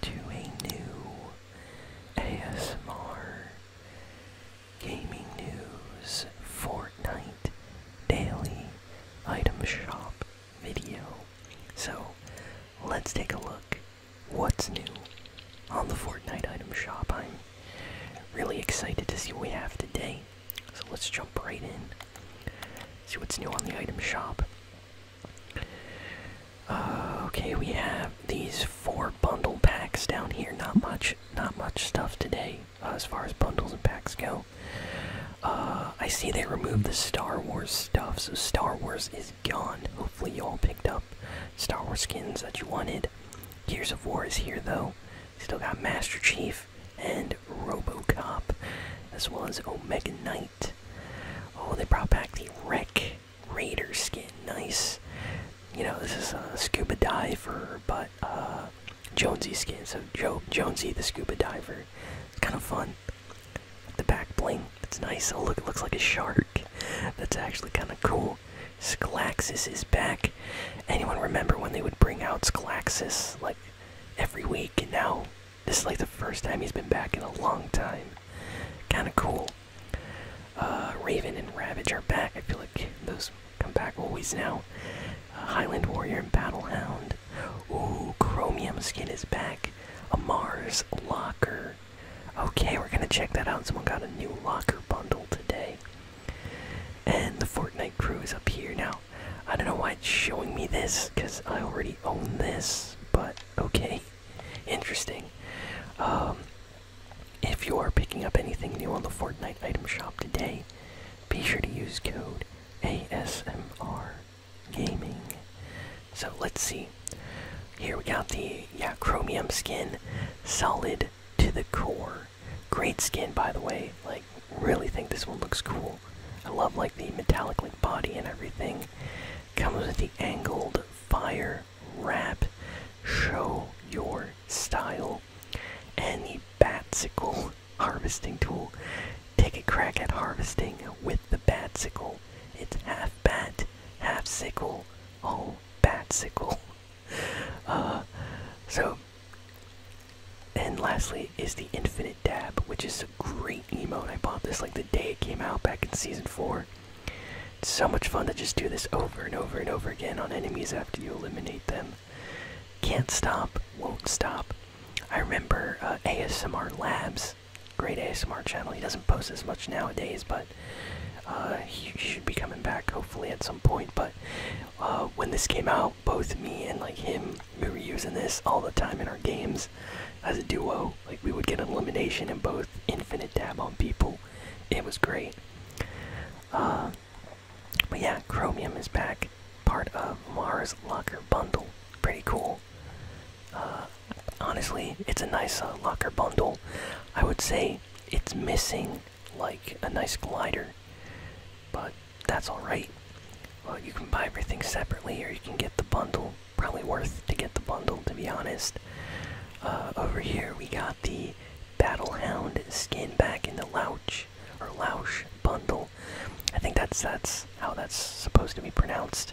to a new ASMR Gaming News Fortnite Daily Item Shop video. So let's take a look what's new on the Fortnite Item Shop. I'm really excited to see what we have today. So let's jump right in. See what's new on the item shop. Uh, okay, we have these four bundle packs down here. Not much, not much stuff today uh, as far as bundles and packs go. Uh, I see they removed the Star Wars stuff, so Star Wars is gone. Hopefully, you all picked up Star Wars skins that you wanted. Gears of War is here though. Still got Master Chief and RoboCop, as well as Omega Knight. Oh, they brought back the Wreck Raider skin. Nice. You know, this is a uh, scuba diver, but uh, Jonesy skin. So jo Jonesy the scuba diver. It's kind of fun. The back bling. It's nice. Oh, it looks like a shark. That's actually kind of cool. Scalaxis is back. Anyone remember when they would bring out Scalaxis like every week? And now this is like the first time he's been back in a long time. Kind of cool. Uh, Raven and Ravage are back. I feel like those come back always now. Uh, Highland Warrior and Battle Hound. Ooh, Chromium skin is back. A Mars locker. Okay, we're gonna check that out. Someone got a new locker bundle today. And the Fortnite crew is up here now. I don't know why it's showing me this, because I already own this, but okay. Interesting. Um, if you are picking up anything new on the Fortnite item shop today, be sure to use code ASMR Gaming. So let's see. Here we got the yeah chromium skin, solid to the core. Great skin by the way. Like like really think this one looks cool. I love like the metallic like body and everything. Comes with the angled fire wrap. Show your style. And the sickle harvesting tool. Take a crack at harvesting with the bat sickle. It's half bat, half sickle, all batsicle. Uh, so and lastly is the Infinite Dab, which is a great emote. I bought this like the day it came out back in season 4. It's so much fun to just do this over and over and over again on enemies after you eliminate them. Can't stop, won't stop. I remember uh, ASMR Labs, great ASMR channel. He doesn't post as much nowadays, but uh, he should be coming back hopefully at some point. But uh, when this came out, both me and like him. We were using this all the time in our games as a duo. Like we would get elimination and both infinite dab on people. It was great. Uh, but yeah, Chromium is back, part of Mars Locker Bundle. Pretty cool. Uh, honestly, it's a nice uh, locker bundle. I would say it's missing like a nice glider, but that's alright. Well, you can buy everything separately, or you can get the bundle. Probably worth to get the bundle, to be honest. Uh, over here, we got the Battle Hound skin back in the Louch or Louch bundle. I think that's that's how that's supposed to be pronounced.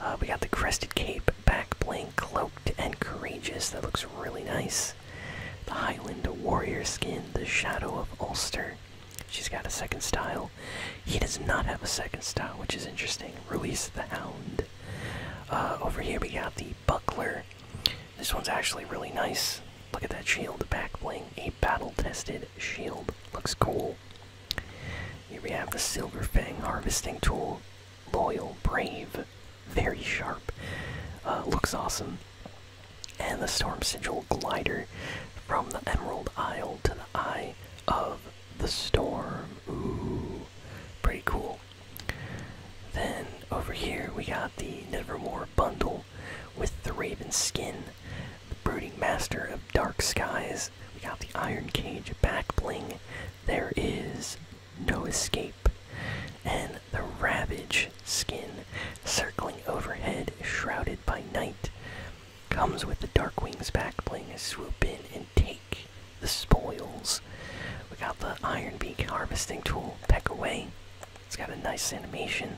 Uh, we got the Crested Cape back blank, cloaked and courageous. That looks really nice the Highland Warrior skin, the Shadow of Ulster. She's got a second style. He does not have a second style, which is interesting. Release the Hound. Uh, over here we got the Buckler. This one's actually really nice. Look at that shield back bling. A battle tested shield. Looks cool. Here we have the Silver Fang harvesting tool. Loyal, brave very sharp. Uh, looks awesome. And the Storm Sigil Glider from the Emerald Isle to the Eye of the Storm. Ooh, pretty cool. Then over here we got the Nevermore Bundle with the Raven Skin, the Brooding Master of Dark Skies. We got the Iron Cage back bling. There is no escape and the Ravage skin, circling overhead, shrouded by night, comes with the dark wings back bling. Swoop in and take the spoils. We got the Iron Beak harvesting tool, peck away. It's got a nice animation.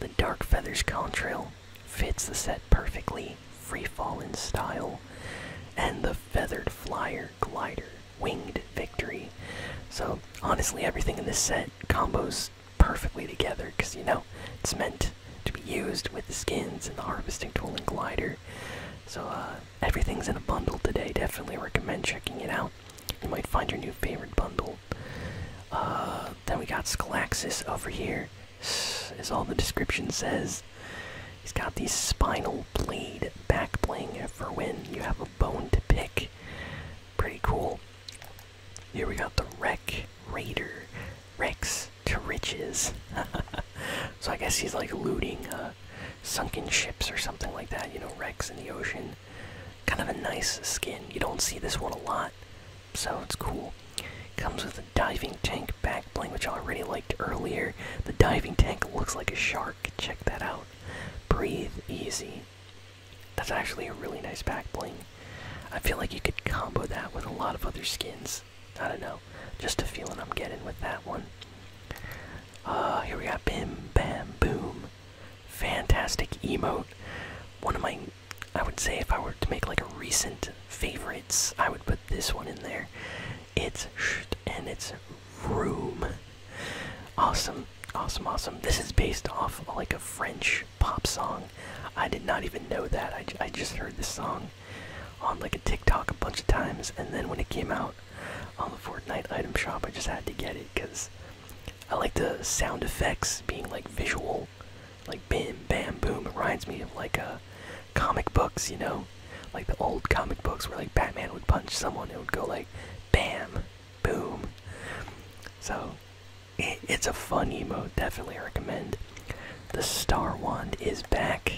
The Dark Feathers contrail fits the set perfectly, free in style. And the Feathered Flyer glider winged victory. So honestly, everything in this set combos perfectly together because you know it's meant to be used with the skins and the harvesting tool and glider. So uh, everything's in a bundle today. Definitely recommend checking it out. You might find your new favorite bundle. Uh, then we got Scalaxis over here, as all the description says. He's got the spinal blade back bling for when you have a bone to pick. Pretty cool. Here we got the Wreck Raider. Rex to riches. so I guess he's like looting uh, sunken ships or something like that. You know, wrecks in the ocean. Kind of a nice skin. You don't see this one a lot, so it's cool. Comes with a diving tank back bling, which I really like earlier. The diving tank looks like a shark. Check that out. Breathe easy. That's actually a really nice back bling. I feel like you could combo that with a lot of other skins. I don't know. Just a feeling I'm getting with that one. Uh, here we go. Bim Bam Boom. Fantastic emote. One of my, I would say if I were to make like a recent favorites, I would put this one in there its and its room. Awesome, awesome, awesome. This is based off like a French pop song. I did not even know that. I, I just heard this song on like a TikTok a bunch of times, and then when it came out on the Fortnite item shop, I just had to get it because I like the sound effects being like visual, like bam, bam, boom. It reminds me of like a uh, comic books, you know, like the old comic books where like Batman would punch someone, it would go like bam, boom. So it's a fun emote, definitely recommend. The Star Wand is back.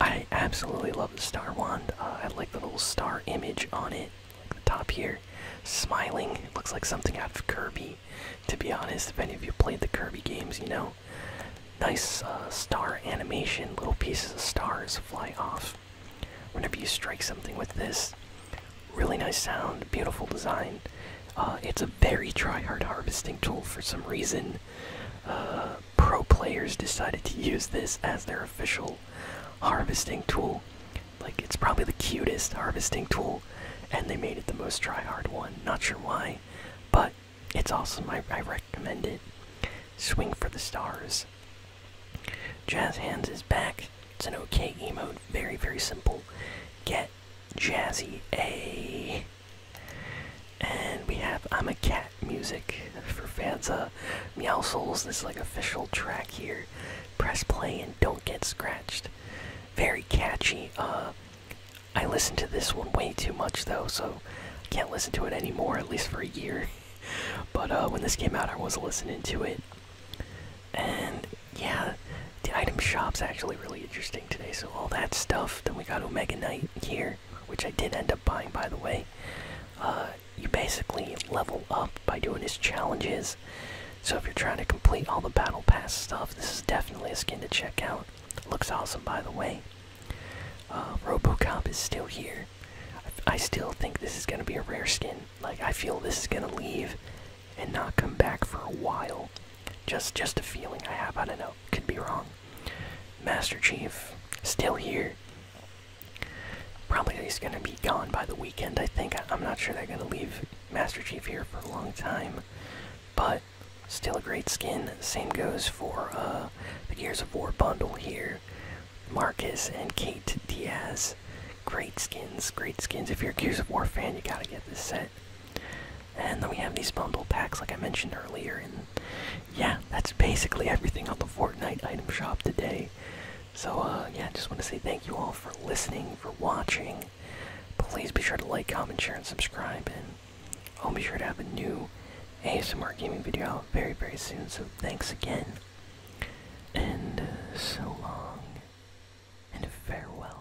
I absolutely love the Star Wand. Uh, I like the little star image on it, like the top here. Smiling, looks like something out of Kirby. To be honest, if any of you played the Kirby games, you know, nice uh, star animation, little pieces of stars fly off. Whenever you strike something with this, really nice sound, beautiful design. Uh, it's a very try-hard harvesting tool for some reason. Uh, pro players decided to use this as their official harvesting tool. Like, it's probably the cutest harvesting tool and they made it the most try hard one. Not sure why, but it's awesome. I, I recommend it. Swing for the Stars. Jazz Hands is back. It's an okay emote. Very, very simple. Get Jazzy A. And we have I'm a Cat music for Fanza. Meow Souls, this is like official track here. Press play and don't get scratched. Very catchy. Uh, I listened to this one way too much though, so I can't listen to it anymore, at least for a year. but uh, when this came out, I was listening to it. And yeah, the item shop's actually really interesting today, so all that stuff. Then we got Omega Knight here, which I did end up buying, by the way. Uh, you basically level up by doing these challenges so if you're trying to complete all the battle pass stuff, this is definitely a skin to check out. Looks awesome, by the way. Uh, RoboCop is still here. I, still think this is gonna be a rare skin. Like I feel this is gonna leave and not come back for a while. Just, just a feeling I have. I don't know. Could be wrong. Master Chief still here. Probably he's gonna be gone by the weekend. I think. I'm not sure they're gonna leave Master Chief here for a long time, but still a great skin. Same goes for uh, the Gears of War bundle here. Marcus and Kate Diaz. Great skins, great skins. If you're a Gears of War fan, you gotta get this set. And then we have these bundle packs, like I mentioned earlier. And yeah, that's basically everything on the Fortnite item shop today. So, uh, yeah, just want to say thank you all for listening, for watching. Please be sure to like, comment, share, and subscribe. And I'll be sure to have a new ASMR gaming video out very, very soon. So, thanks again. And uh, so long. And farewell.